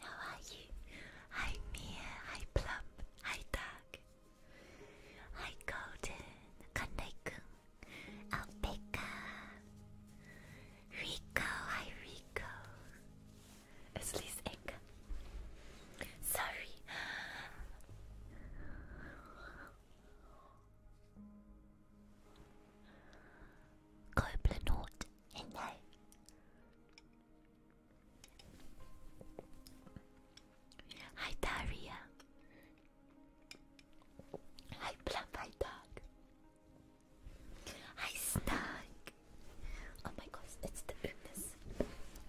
How are you? Hi Mia, hi Plump, hi Doug, hi Golden, Kandai-kun, Alpeka, Rico, hi Rico, Aslee's Eka. Sorry. Copeland and I. Hi Daria. Hi Bluff, Dog. Hi Snug. Oh my gosh, it's the illness.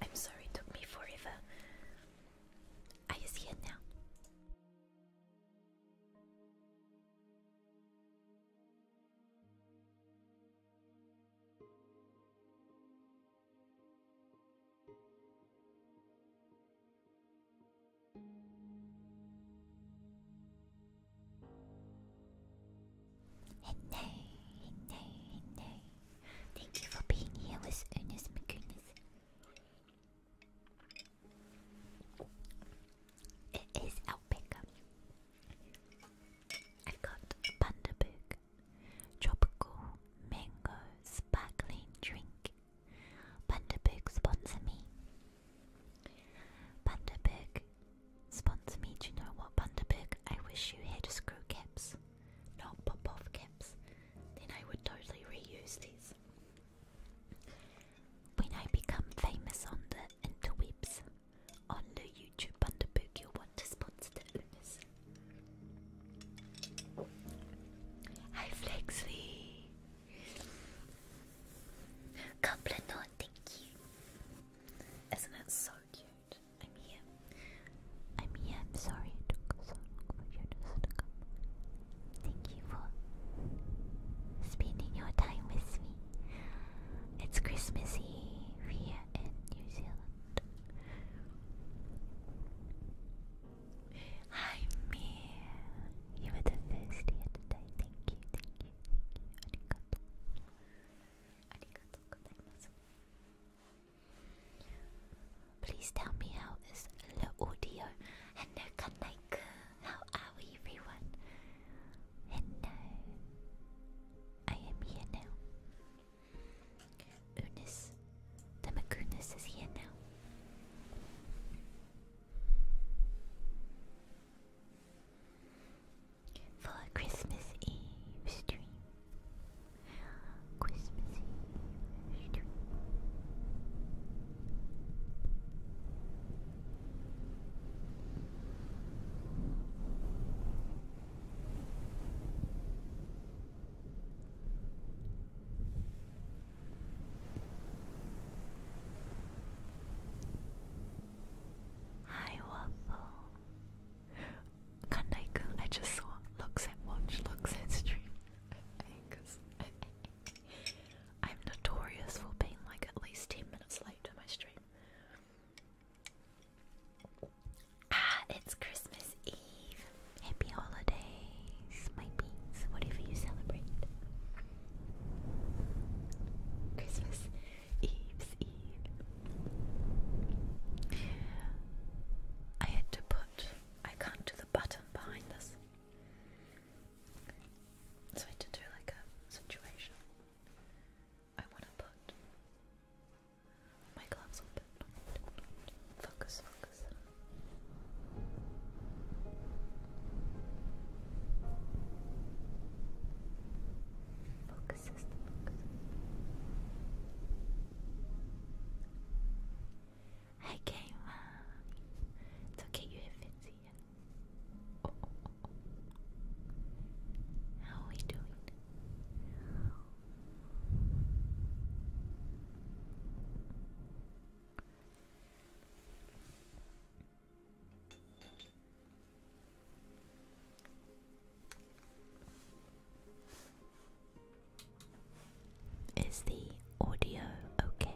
I'm sorry, it took me forever. Are you now? Thank you for being here with Ernest McGuinness. It is Alpaca. i got Panda Tropical Mango Sparkling Drink. Panda sponsor me. Panda sponsor me. Do you know what, Panda I wish you had screw caps, not pop off caps. Then I would totally reuse these. When I become famous on the interwebs, on the YouTube Bundaberg, you'll want to sponsor the Hi Flexy! Goblin you. Isn't it so cute? I'm here. I'm here. I'm sorry it took so long for you to come. Thank you for spending your time with me. It's Christmas Eve here in New Zealand. Hi, me. You were the first here today. Thank you, thank you, thank you. Please tell me how is the audio and the connect. How are we, everyone? Hello. I am here now. Unis, the Magunis is here now. For Christmas Eve stream. Christmas Eve stream. Hi Waffle. Kandai-kun, I just saw, looks at watch, looks at stream. I'm notorious for being like at least 10 minutes late to my stream. Ah, it's Christmas Eve. Happy holidays, my beans, whatever you celebrate. Christmas Eve's Eve. I had to put, I can't do the button behind this. So I did do like a situation. I want to put my gloves open. Focus, focus. Focus is focus. Hi, Kayla. It's okay, you have Fitzy. Oh, oh, How are we doing? Is the audio okay?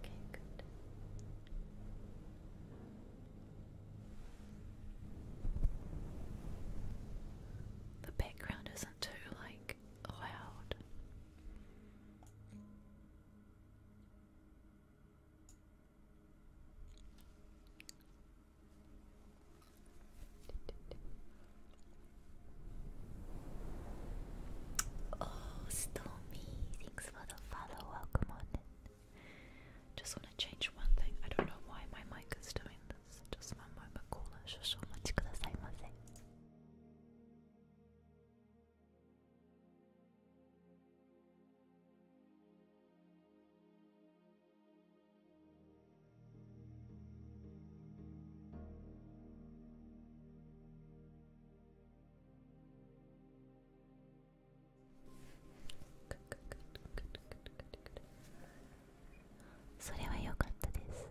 Okay, good. The background isn't too like loud. Oh, Stormy, thanks for the follow. Welcome on Just want to change one thing. I don't know why my mic is doing this. Just one moment, caller. Shusho, much kudasaimasen. それは良かったです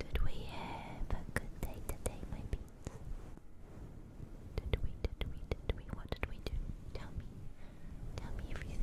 Did we have a good day today, my beans? Did we, did we, did we, what did we do? Tell me, tell me everything.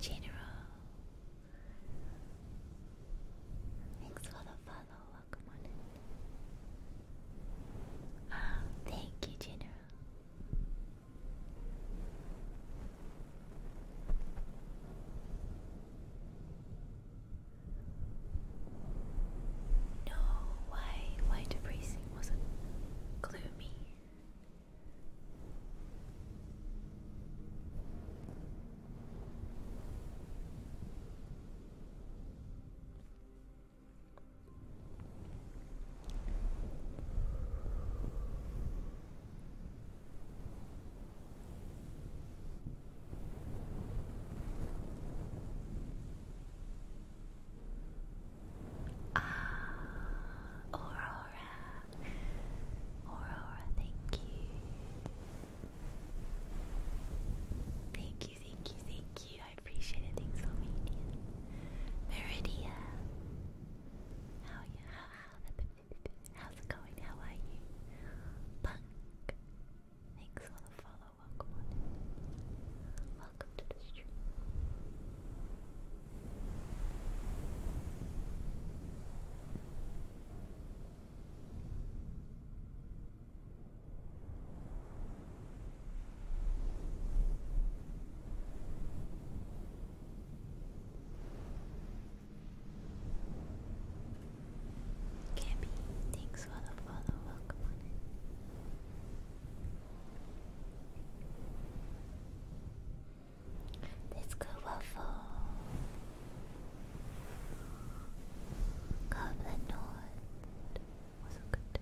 General, thanks for the follow. Welcome on Ah, thank you, General. No, why why depressing wasn't gloomy? Ah, Aurora, Aurora, thank you, thank you, thank you, thank you. I appreciate it. Thanks, Romanian. Meridia, how you? How's it going? How are you? Punk! Thanks for the follow, welcome on Welcome to the stream. Gabby, thanks for the follow. Welcome on Let's go waffle. Goblin North. was good.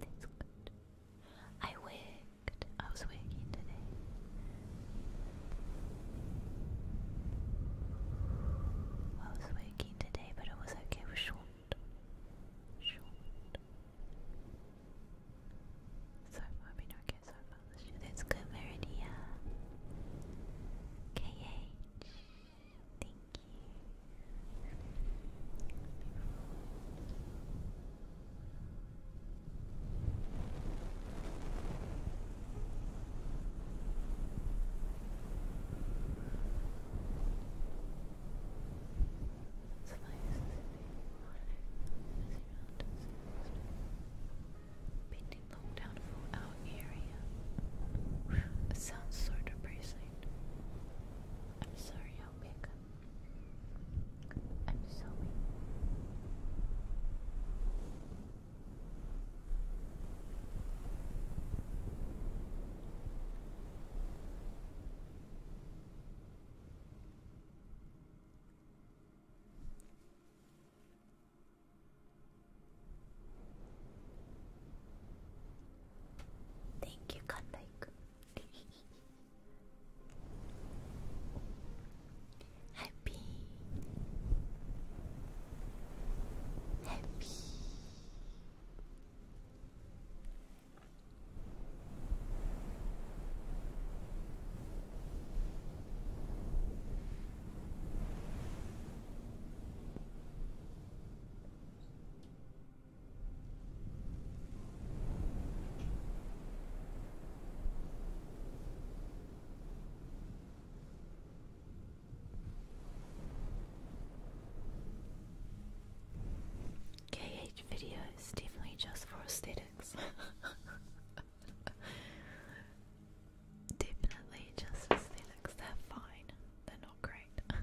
That's good. I wigged. I was swiggy today. I was waking today, but it was okay. It short. Short. So far, I okay, so far. That's good, Meridia. KH. Thank you. Pending lockdown for our area. it sounds so depressing. I'm sorry, I'll I'm sorry. Thank you, Cut Like. happy, happy. KH video is definitely just for aesthetics. definitely just aesthetics. They're fine. They're not great.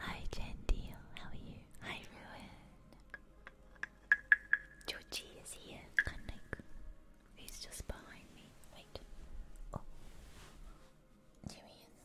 Hi Gentile, how are you? Hi Ruin. Georgie is here, Kanik. He's just behind me. Wait. Oh. There he is.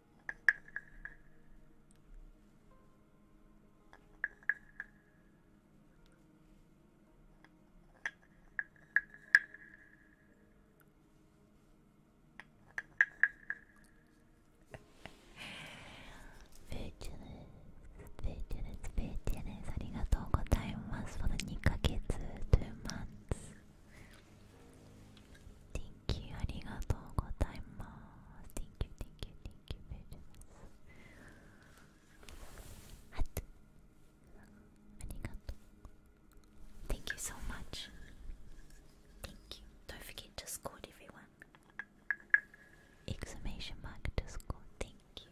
ありがとうございます。この2ヶ月、2 months。Thank thank you, thank you, thank you so much. Don't forget to score everyone. Exclamation mark to score. Thank you.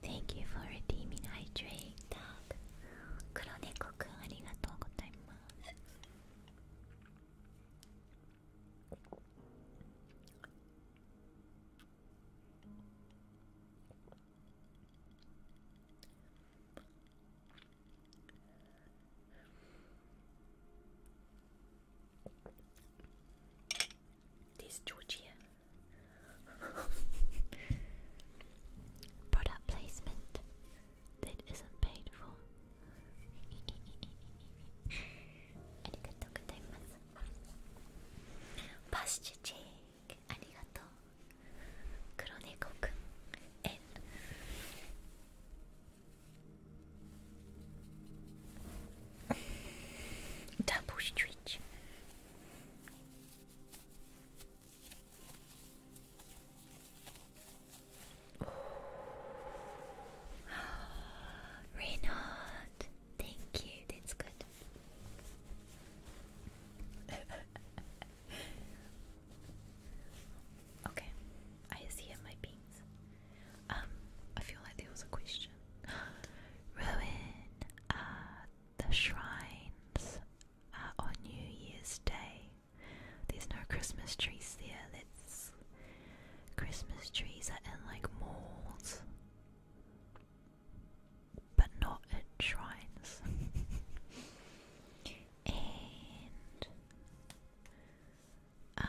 Thank you for redeeming hydrate dog. 黒猫くんありがとうございます。there's Georgia. Product placement that isn't paid for. Arigatou gozaimasu. Pasture Jake, arigatou. kuroneko Double stretch. Reynard, thank you. That's good. Okay, I see my beans. Um, I feel like there was a question. Ruin uh, the shrines uh, on New Year's Day. There's no Christmas trees there. That's Christmas trees are in like malls, but not at shrines. Um,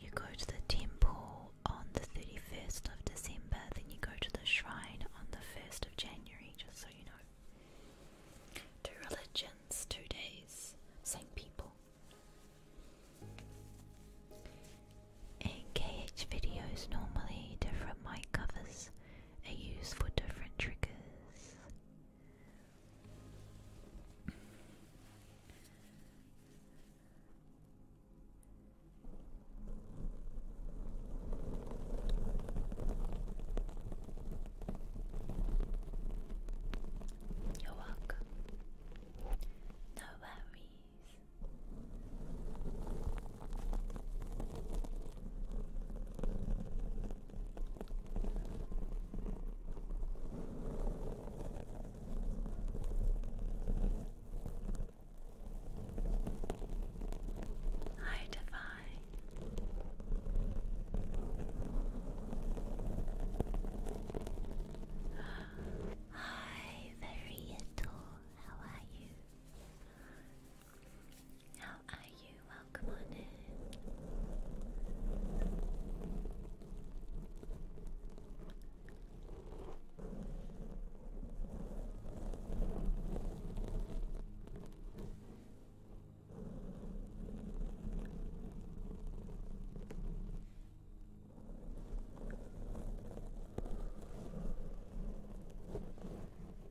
you go to the temple on the 31st of December, then you go to the shrine on the 1st of January, just so you know. Two religions, two days, same people. And videos normally different mic covers are used for different triggers. You're welcome. No worries. Hi, Divine. Hi, very little. How are you? How are you? Welcome on in.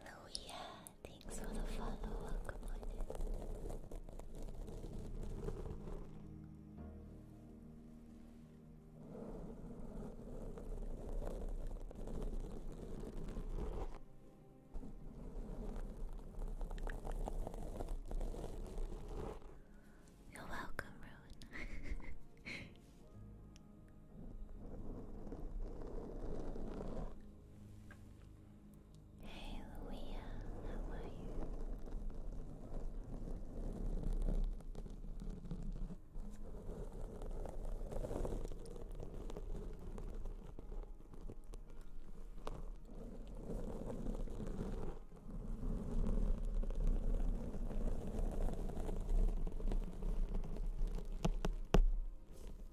Louia, oh, thanks for the follow. You're welcome, Rowan. Hey Luia, how are you? Hello,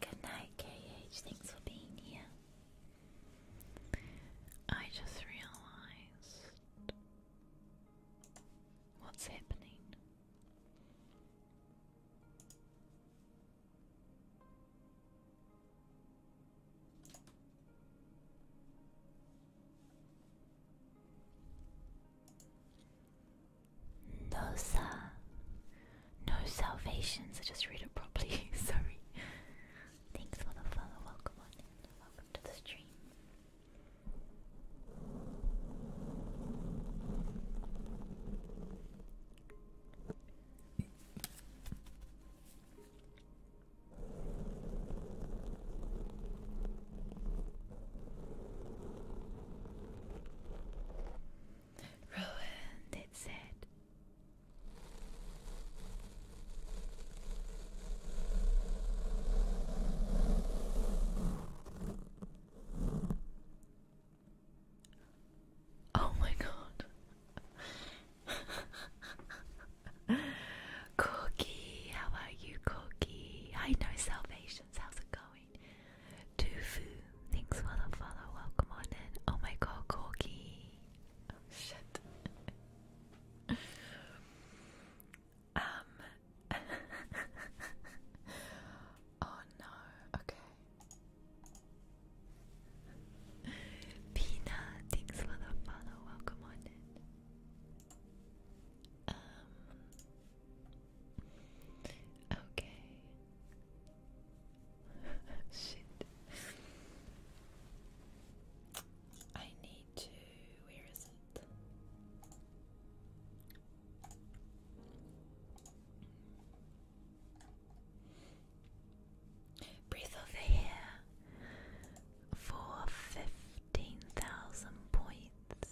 Good night, KH. Thanks for being here. I just realized what's happening. No, sir. no salvations. I just read it properly. Sorry. Thanks for the follow. Welcome Welcome to the stream. Ruined, it said. Oh my god. Corky, how are you, Corky? I know Salvations, how's it going? Tofu, thanks for the follow. Welcome on in. Oh my god, Corky. Oh, shit. um. oh no. Okay. Pina, thanks for the follow. Welcome on in. Um, Okay. Shit. I need to. Where is it? Breathe over here for fifteen thousand points.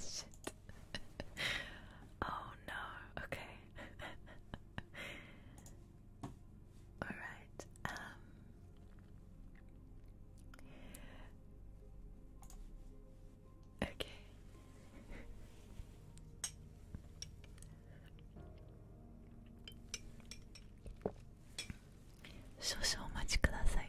Shit. oh no, okay. Alright, um, Okay. 少々お待ちください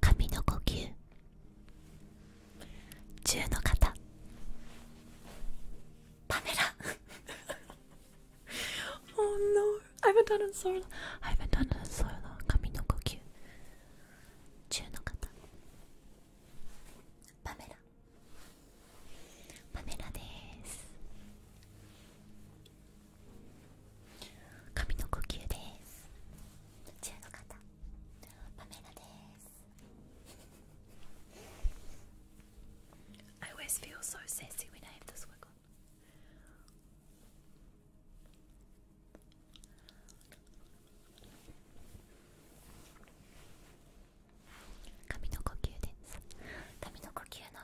神の呼吸1の方パメラ oh no, I haven't done it in so long. I haven't done it in so long. Kami no kokyu. Chu no kata. Pamela. Pamela desu. Kami no kokyu desu. Chu no kata. Pamela I always feel so sassy when I have this wig on. Kami no kokyu desu. Kami no kokyu no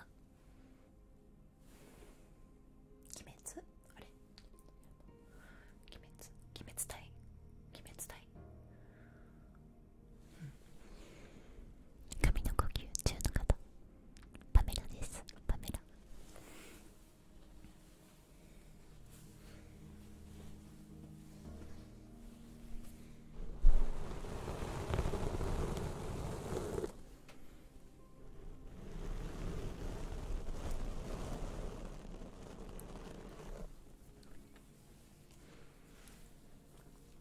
tai. Kimetsu tai. 神の呼吸中の方パメラですパメラ…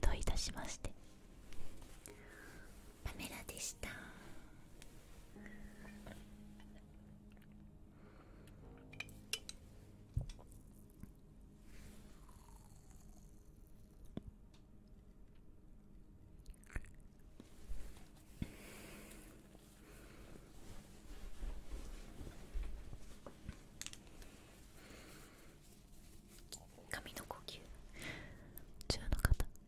どういたしましてパメラでした髪の呼吸中の方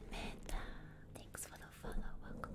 Amanda, thanks for the follow. Welcome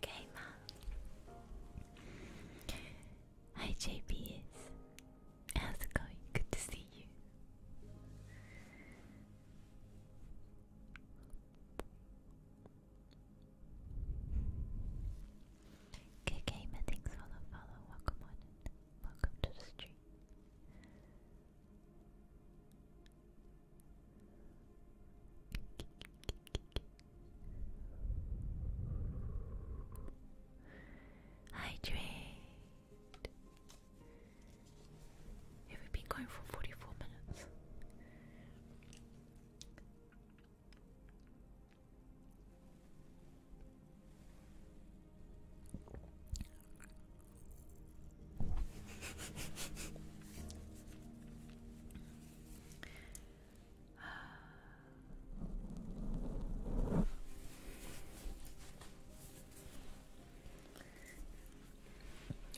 good gamer. Hi JPS. How's it going? Good to see you. Good gamer, thanks for the follow. Welcome on in. Welcome to the stream. Hydrate. Have we been going for 44 minutes?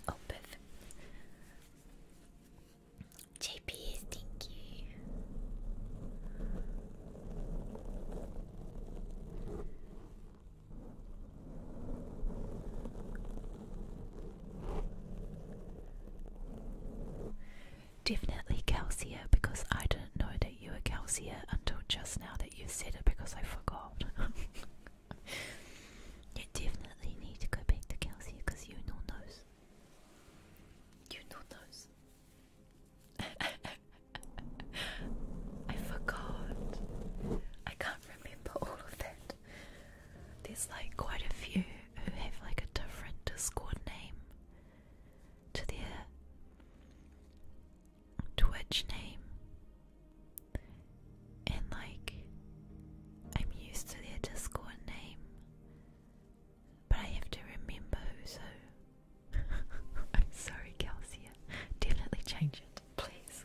Opeth. JP is stinky. Definitely Calcia because I didn't know that you were Calcia until just now that you said it because I forgot. you definitely need to go back to Calcia because you know those. You know those. I forgot. I can't remember all of that. There's like quite a few who have like a different Discord name to their Twitch name. And like, I'm used to their Discord name, but I have to remember who's I'm sorry, Kelsia. Definitely change it, please.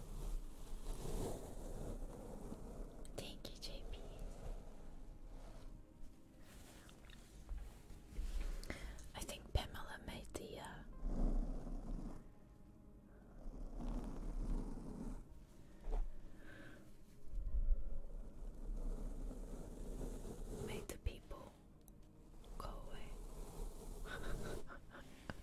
Thank you, JP. I think Pamela made the uh, made the people go away.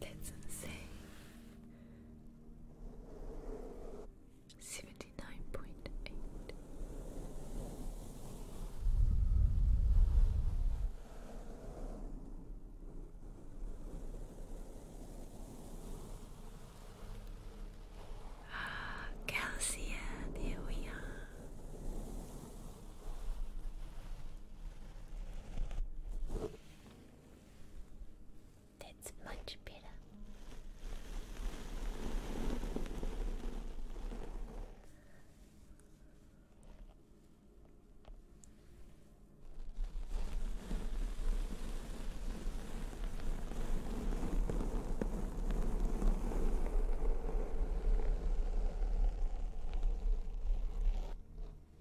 That's insane. Seventy nine point eight. Ah, Calcia, there we are. That's much better.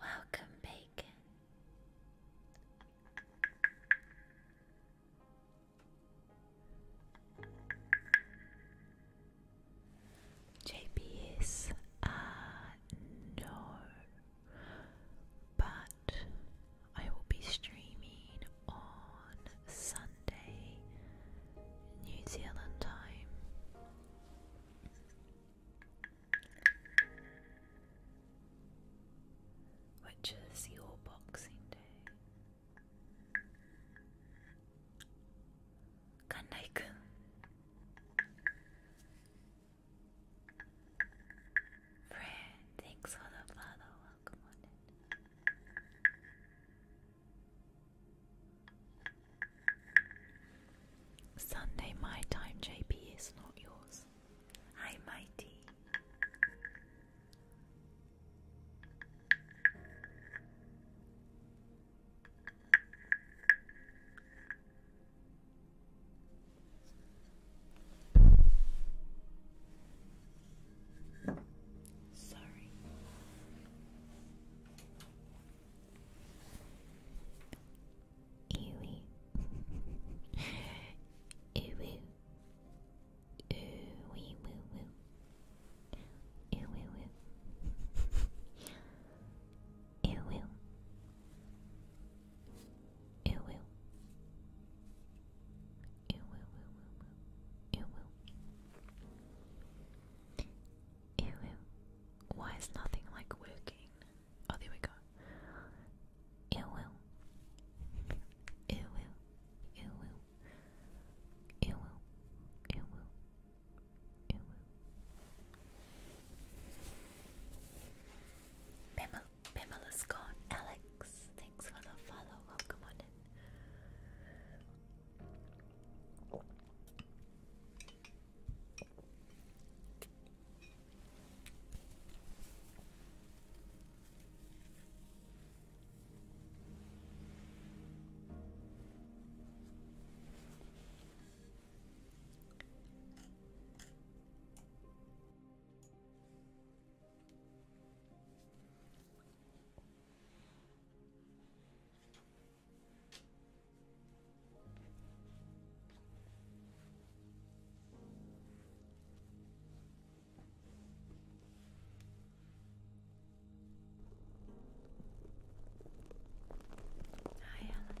Welcome, Bacon. JP is uh, no, but I will be streaming on Sunday, New Zealand time. Which is your boxing day? Kanai-kun. Fred, thanks for the follow Sunday, my time, JP, is not yours. Hi, Mighty. Sorry. Ewy. Ewy. Ewy woo woo. Ewy woo. Ewy. Ewy. It will, will, will, will. It will. It Why is nothing like working? Oh, there we go. It will. It will. It will. It Pamela's gone. Alex, thanks for the follow. Welcome on Hi, Alex.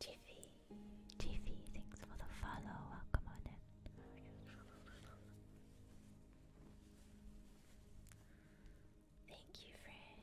Jiffy, Jiffy, thanks for the follow. Welcome on in. Thank you, friend.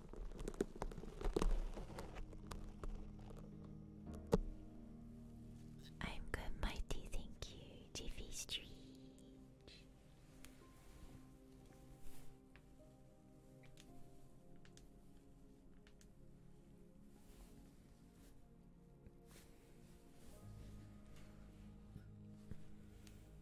I'm good, mighty. Thank you, Jiffy Street.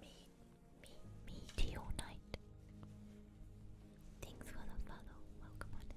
Me, me, me to your night. Thanks for the follow. Welcome on in.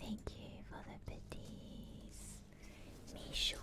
Thank you for the biddies. Me show me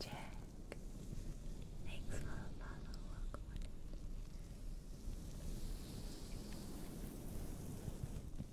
Jack, thanks for the follow. Welcome on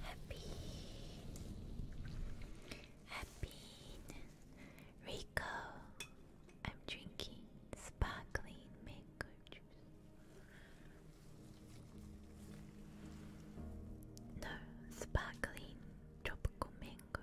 Happy Rico. I'm drinking sparkling mango juice. No, sparkling tropical mango.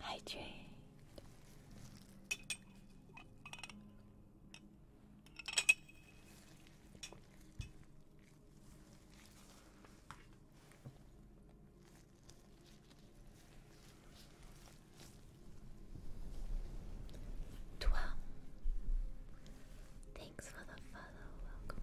Hydrate. Twelve. Thanks for the follow. Welcome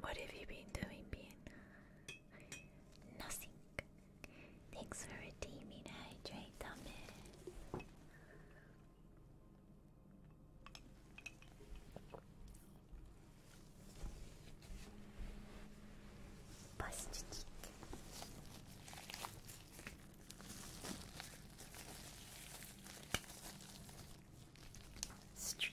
What have you been doing, Ben? Nothing. Thanks for redeeming hydrate thumbnail. Busted. Street.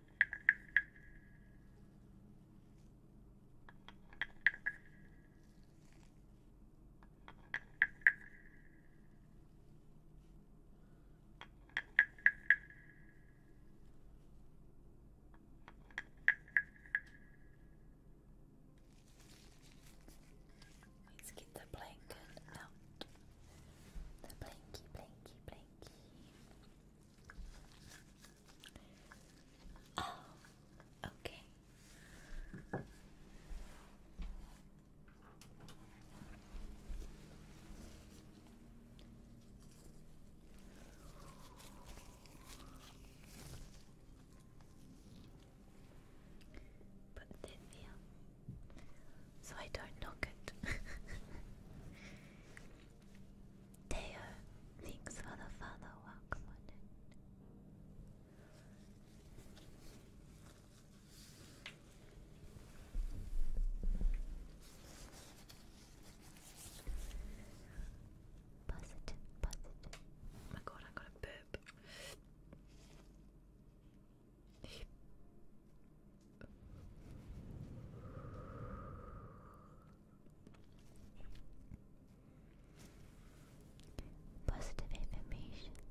Let's get the blanket out. The blankie, blankie, blankie. Oh, okay. Put it in so I don't knock it. Teo, thanks for the follow. Welcome Positive, positive. Oh my god, I got a burp. Positive affirmations.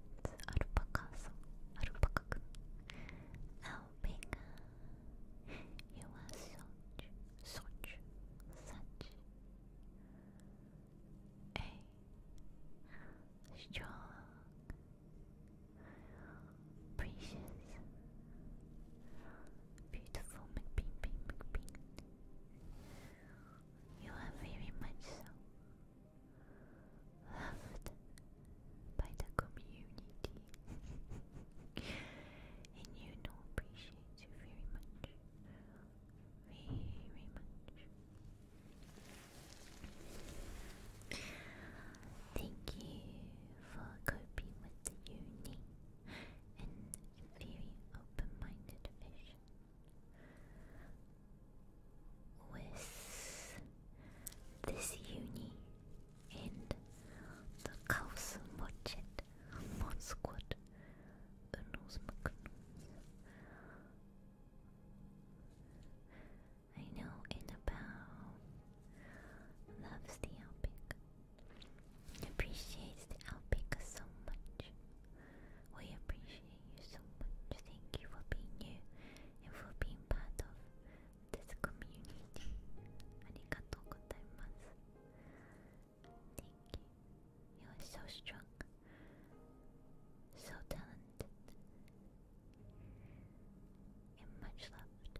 Arupakasu. Arupakaku. Alpika. You are such, such, such a strong Precious, beautiful McBean, Bean, You are very much loved by the community, and you know appreciate you very much, very much. Thank you for coping with the unique and very open-minded vision. With this uni and the Kaus Mochet Monsquad Unus I know about Loves the alpaca. Appreciates the alpaca so much. We appreciate you so much. Thank you for being here and for being part of this community. Arigatou Thank you. You are so strong. So talented you much loved.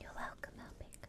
You're welcome, Alpic.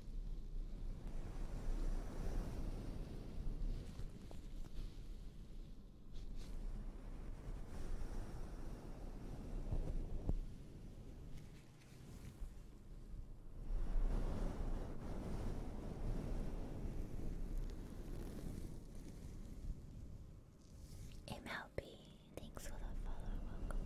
MLB, thanks for the follow, welcome.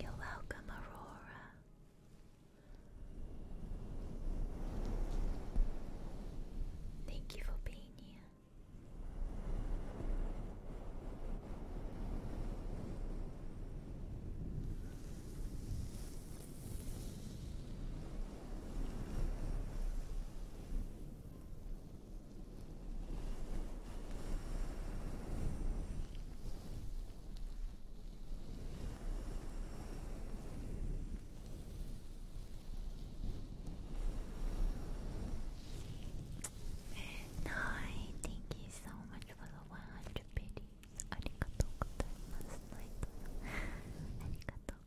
You're welcome, Aurora. Thank you for being here. Hi, thank you so much for the 100 biddies. Arigatou gozaimasu. Arigatou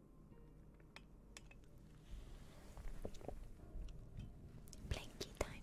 Blanky time.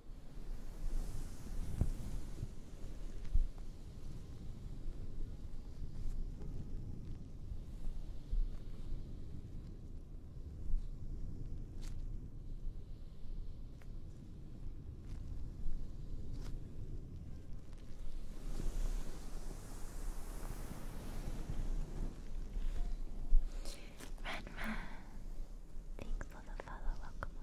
Run, run. Thanks for the follow, welcome on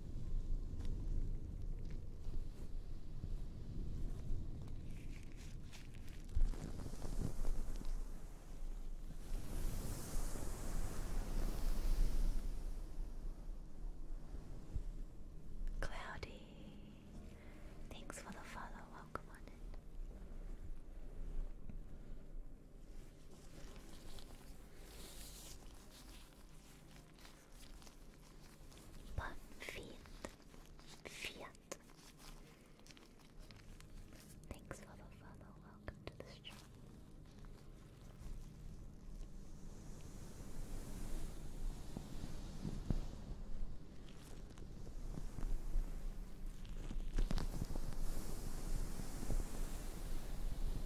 Cloudy, thanks for the follow. Welcome on it. But Fiat, Fiat. Thanks for the follow. Welcome to the stream.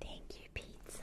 Thank you, pizza.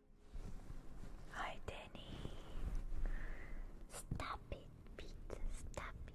Hi, Danny. Stop it, Pete. Stop it.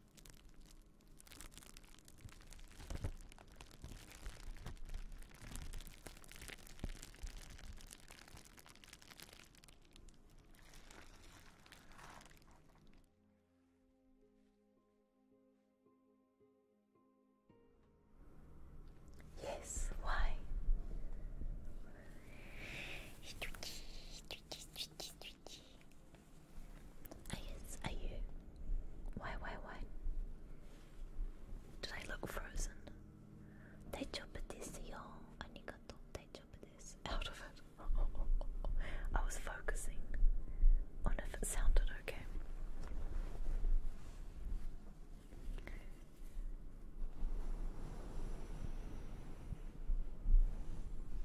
Yes, why? I guess, are you? Why, why, why? Did I look frozen? Out of it. I was focusing on if it sounded okay.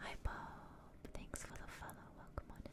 Hi Bob, thanks for the follow, welcome on in.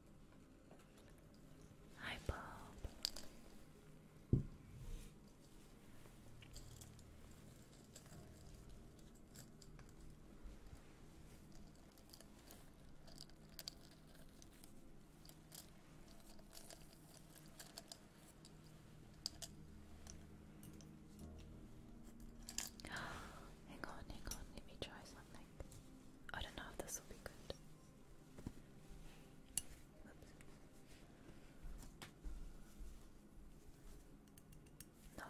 Hi, Bob. hang on, hang on, let me try something. I don't know if this will be good. No. Oh.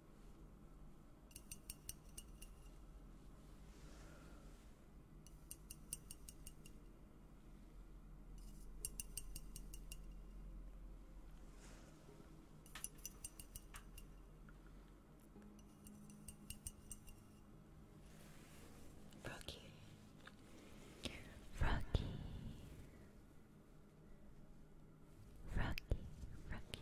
Rocky, Rocky, Rocky, Rocky.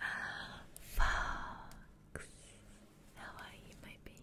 Ah, Fox, how are you, my bean?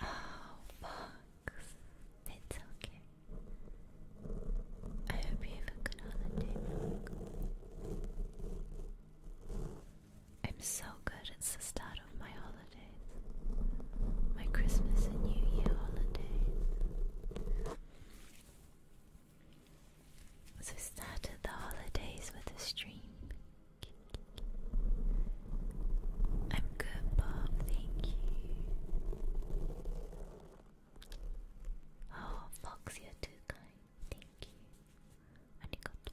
Oh, Fox, it's okay. I hope you have a good holiday, I'm so good, it's the start of my holiday. My Christmas and New Year holidays. So started the holidays with a stream. I'm good, Bob, thank you. Oh, Fox, you're too kind, thank you. Arigato.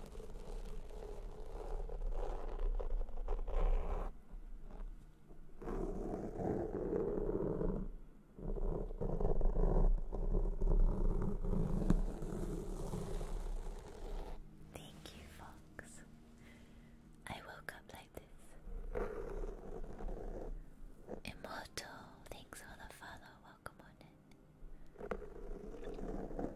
Thank you, Fox. I woke up like this. Immortal, thanks for the follow. Welcome on in.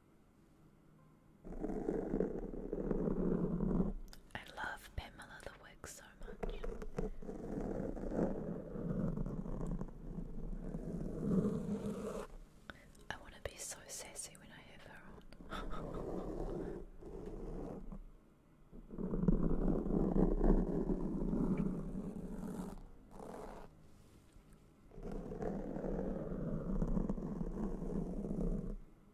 I love Pamela the Wig so much. I want to be so sassy when I have her on.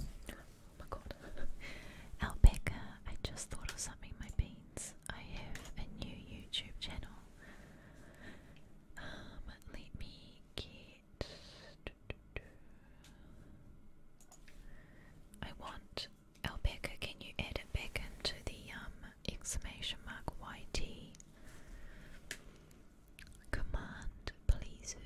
Oh my god. Alpeka, I just thought of something, my beans. I have a new YouTube channel. Um, let me I want Albeca. Can you add it back into the um, exclamation mark YT command, please?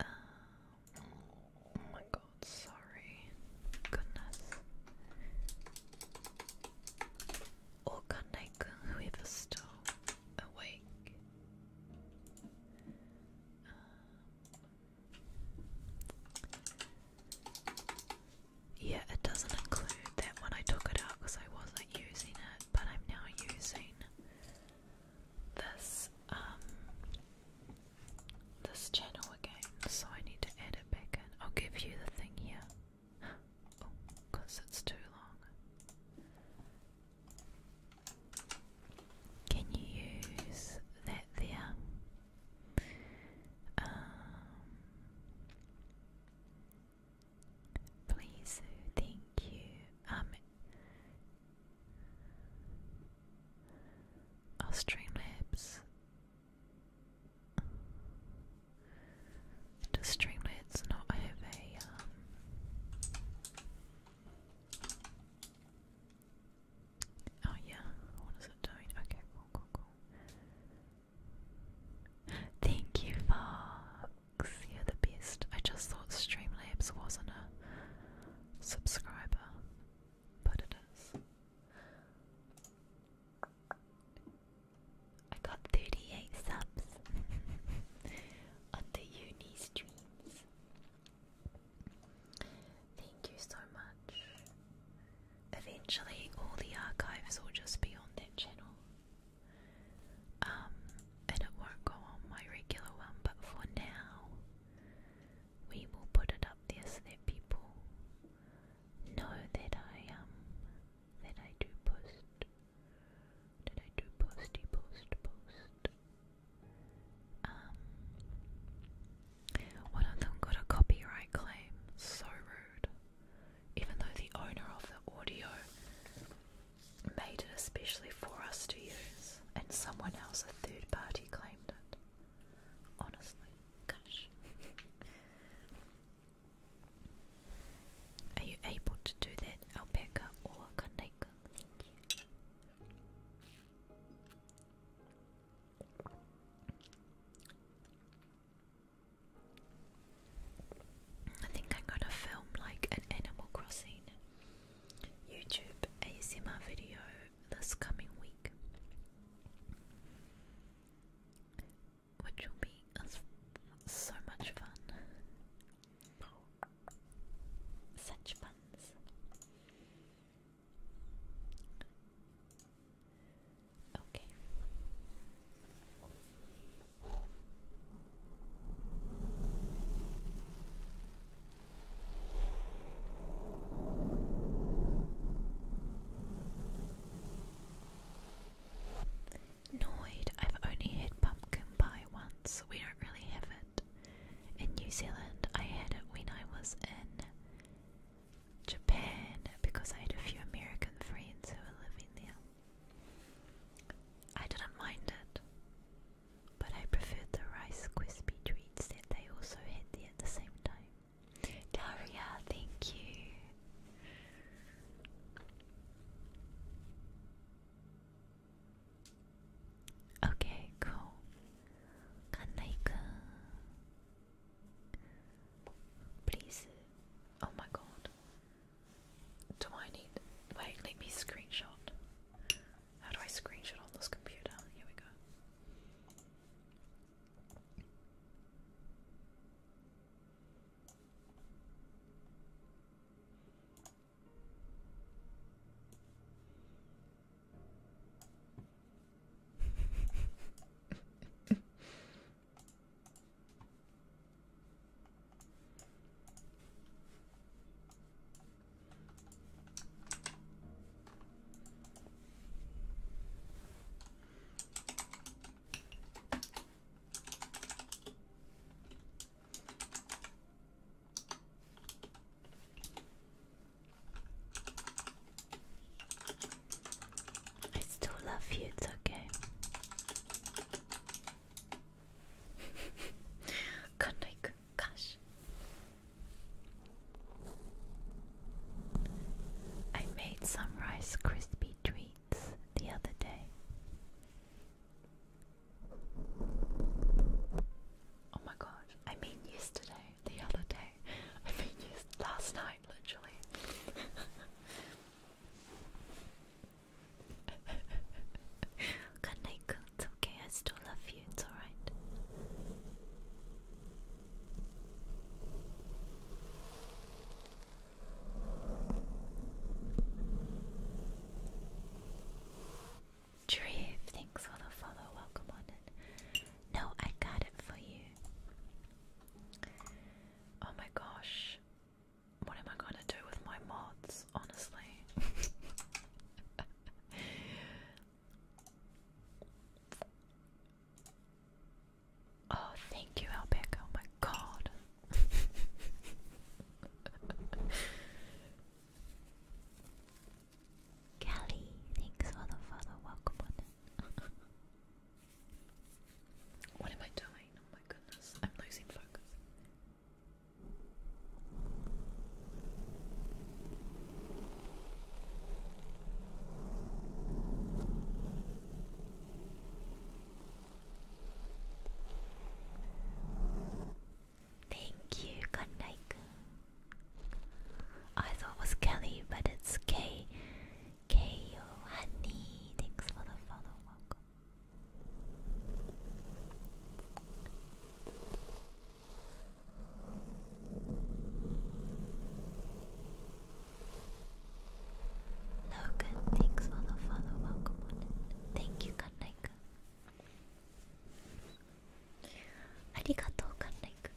Um, oh my god, sorry. Goodness. Orkanekun, whoever still awake. Um, yeah, it doesn't include that one. I took it out because I wasn't using it, but I'm now using this um this channel again, so I need to add back in. I'll give you the thing here. because oh, it's too long. Can you use that there? Um, Please, thank you. Um, Streamlabs. Does Streamlabs not have a, um, oh yeah, what is it doing? Okay, cool, cool, cool. Thank you for you're the best. I just thought Streamlabs wasn't a subscriber, but it is. I got 38 subs on the uni streams. Thank you so much. Eventually, all the archives will just be on that channel. Um, and it won't go on my regular one, but for now, we will put it up there so that people know that I um that I do post, that I do posty post post. Um, one of them got a copyright claim. So rude. Even though the owner of the audio made it especially for us to use, and someone else, a third party, claimed it. Honestly, gosh. Are you able to do that, alpaca or kaneka? I think I'm gonna film like an Animal Crossing YouTube ASMR video this coming week, which will be so much fun. Such funs. Okay. Noid, I've only had pumpkin pie once. We don't really have it. In New Zealand, I had it when I was in Japan because I had a few American friends who were living there. I didn't mind it but I preferred the Rice crispy treats that they also had there at the same time. Daria, thank you. Okay, cool. kanai Please. Oh my god. Do I need. Wait, let me screenshot. How do I screenshot on this computer? Here we go. I still love you, it's okay. Kandaik, gosh. I made some Rice Krispie treats the other day. Oh my god, I mean yesterday, the other day. I mean last night literally. Kaneko, it's okay, I still love you, it's alright. Tree, thanks for the follow, welcome on it. No, I got it for you. Oh my gosh what am I gonna do with my mods, honestly? oh, thank you, Albeck. Oh my god. Kelly, thanks for the father welcome what am I doing? Oh my goodness, I'm losing focus. Thank you, Kandaik. I thought it was Kelly, but it's K. K. O. Honey. Thanks for the follow. Welcome. Logan, thanks for the follow. Welcome Thank you, Kannaika. Arigato, Kannaika.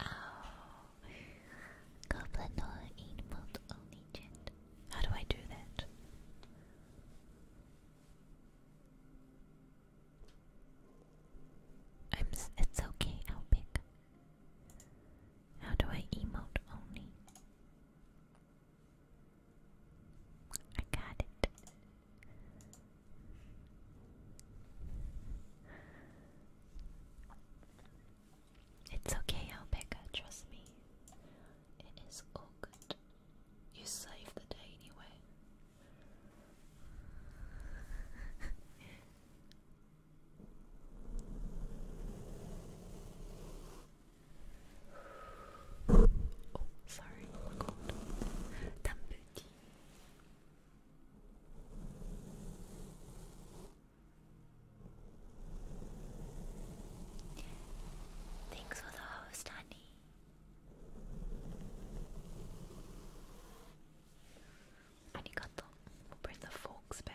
Oh, goblin or animal only gent. How do I do that? it's okay. I'll pick. How do I emote only? I got it. It's okay, Alpeka, uh, trust me. It is all good. You saved the day anyway oh, sorry, cold. D'un petit. Thanks for the host, honey. Arigato. We'll bring the forks back.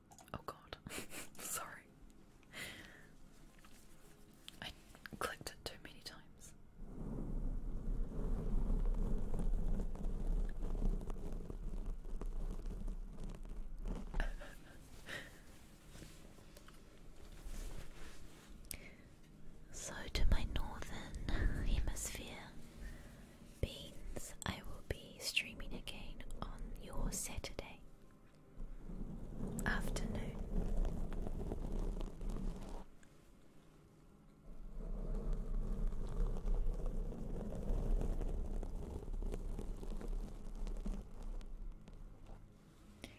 Oh god. Sorry. I clicked it too many times. so, to my northern hemisphere beans, I will be streaming again on your Saturday afternoon.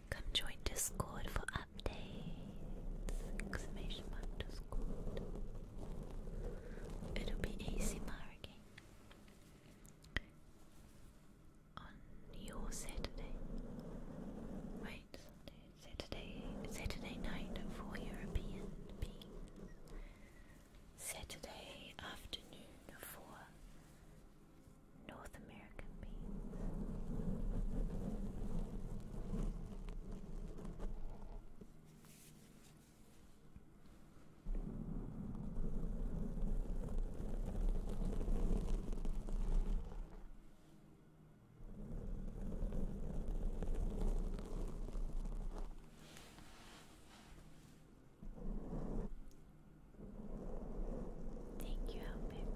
Come join Discord for updates! It'll be easy marking on your Saturday. Right, Saturday, Saturday night for European beings. Saturday afternoon for North American beings. Thank you, Alpic.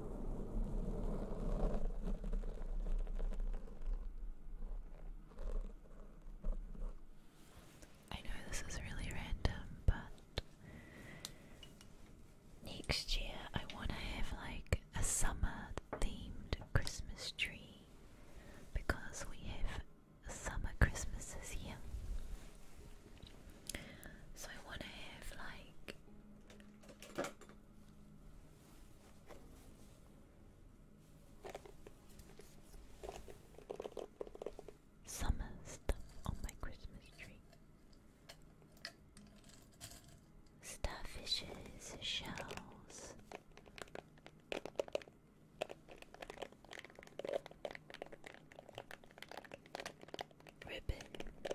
I know this is really random, but next year I want to have like a summer themed Christmas tree because we have summer Christmases here. So I want to have like Summer stuff on my Christmas tree. Starfishes, shells. Ribbons,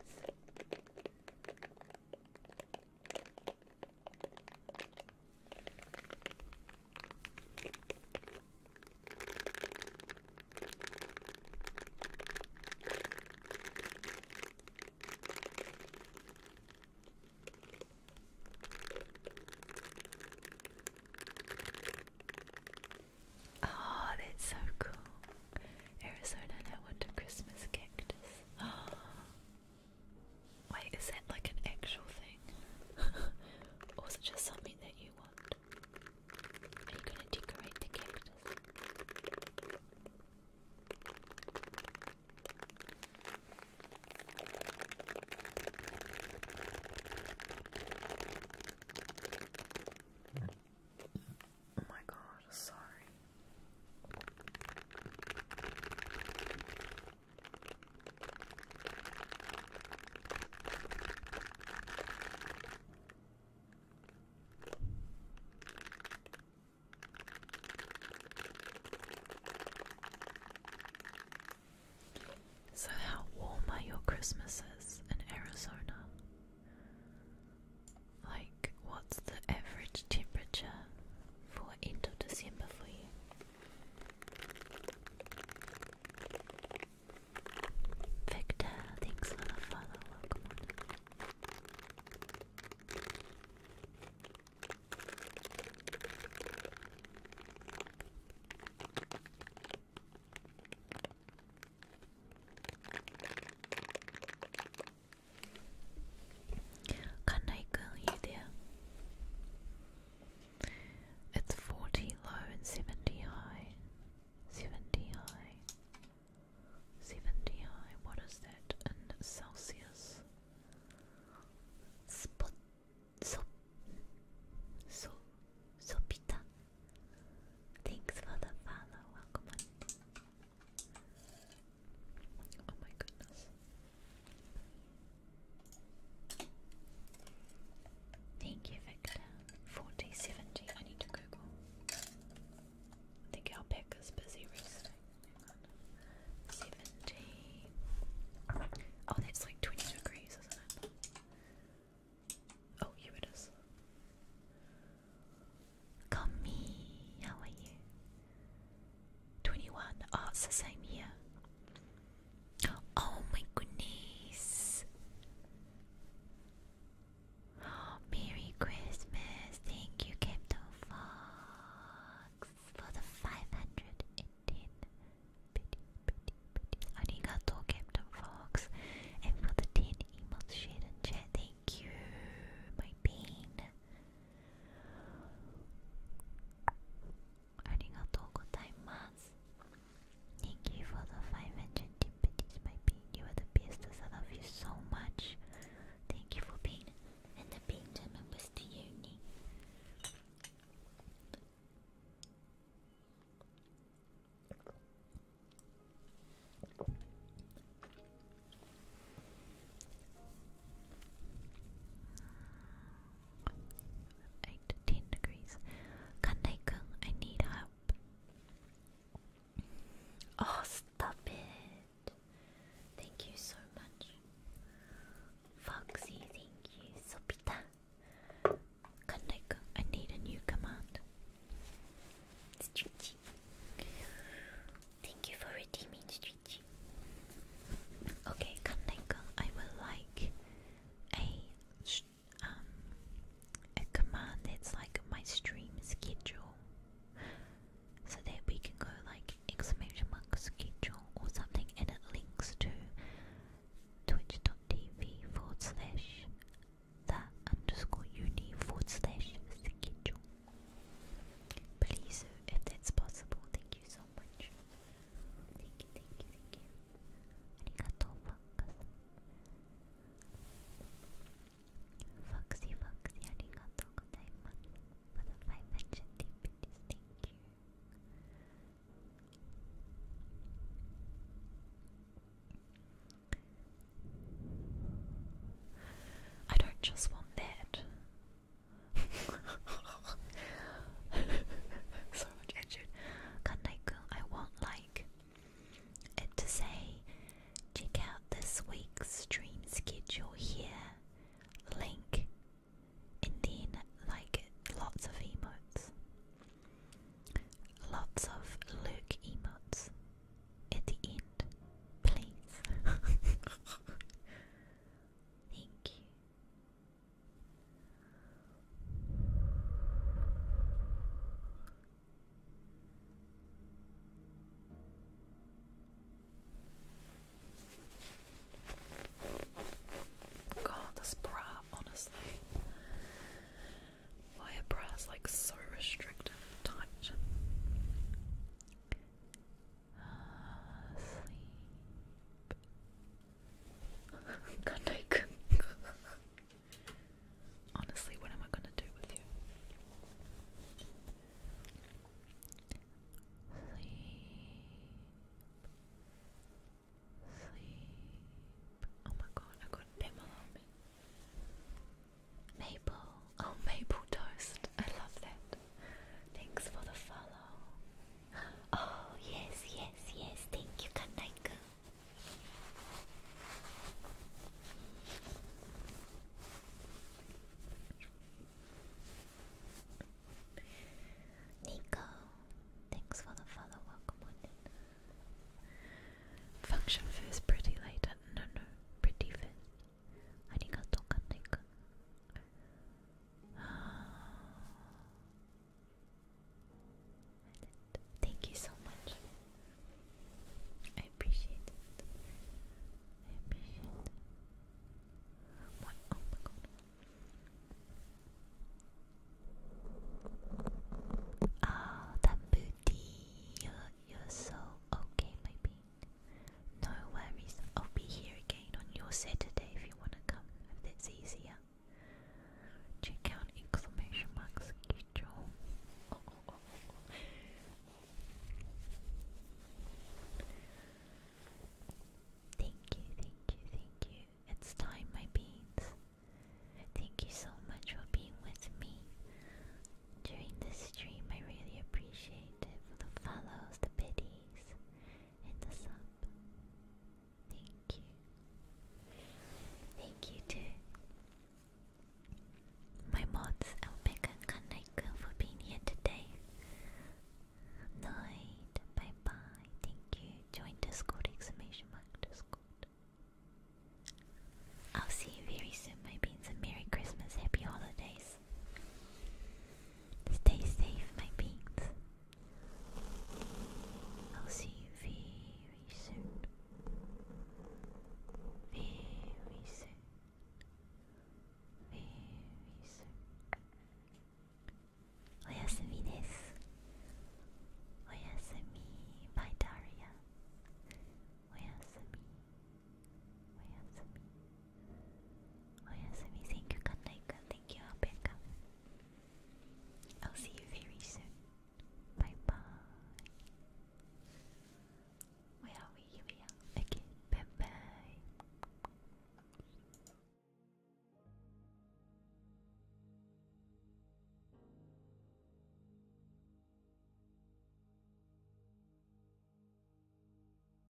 Oh, that's so cool. Arizona no wonder Christmas cactus. Oh, Wait, is that like an actual thing? or is it just something that you want? Are you gonna decorate the cactus? Oh my god, sorry. So, how warm are your Christmases in Arizona? like what's the average temperature for end of December for you? Victor, thanks for the Kanai Kun, you there? It's 40 low and 70 high. 70 high. 70 high. What is that in Celsius? Spot. So. Sopita. Thanks for the follow. Welcome Oh my goodness. Thank you, Victor. 4070. I need to Google. I think our pack is busy resting. 70. Oh, that's like 20 degrees, isn't it? Oh, here it is me. how are you? 21. Oh, it's the same here. Oh my goodness. Merry Christmas. Thank you, Captain Fox, for the 510 bitty, bitty, bitty. Arigato, Captain Fox. And for the 10 emotes, share and chat. Thank you, my pain. Thank you for the 500 timpanis, my pain. You are the best. I love you so much. Thank you for being in the being the members to uni. Eight, ten degrees. Kandai-kun, I need help. Oh, stop it! Thank you so much. Foxy, thank you. Sopita. Kandai-kun, I need a new command. It's Thank you for redeeming Street. Okay, Kaneko, I would like a um a command that's like my stream schedule. So that we can go like exclamation mark schedule or something and it links to twitch.tv forward slash the underscore uni forward slash schedule. Please, if that's possible, thank you so much. Thank you, thank you, thank you. Arigato, Fox. Foxy, Foxy, arigato gozaimasu. thank you. I don't just want that. so much attitude. Kandaiku, I want like it to say, check out this week's stream schedule here. Link, and then like lots of emotes, lots of Luke emotes at the end, please. Thank you. God, this bra, honestly. Why are bras like so restrictive tight? sleep. Good night. Honestly, what am I gonna do with you? Sleep. Sleep. Oh my god, I got Pamela on me. Maple. Oh, maple toast. I love that. Thanks for the follow. Oh, yes, yes, yes. Thank you, Kanaiku. Nico, thanks for the follow. Welcome on in. Function first, pretty later. No, no, pretty first. ありがとう、カンナイくん。Thank you so much. I appreciate it. I appreciate oh my god. Oh, ah, that booty. You're, so okay, baby. No worries, I'll be here again on your Saturday if you want to come, if that's easier. Check out exclamation mark schedule. Thank you, thank you, thank you. It's time, my beans. Thank you so much for being with me during this stream. I really appreciate it for the follows, the biddies please hit us Thank you. Thank you to my mods, Alpeka and Kanaika, for being here today. Night. Bye bye. Thank you. Join Discord! Exclamation mark Discord. I'll see you very soon, my beans, and Merry Christmas, Happy Holidays, guys. Stay safe, my beans. I'll see you very soon. Very soon. Very soon. おやすみです。おやすみ、バイタリア。おやすみ。おやすみ。Oyasumi, oh, thank you, Kanaika. Thank you, Alpeka. I'll see you very soon. Bye bye. Where are we? Here we Okay, bye bye.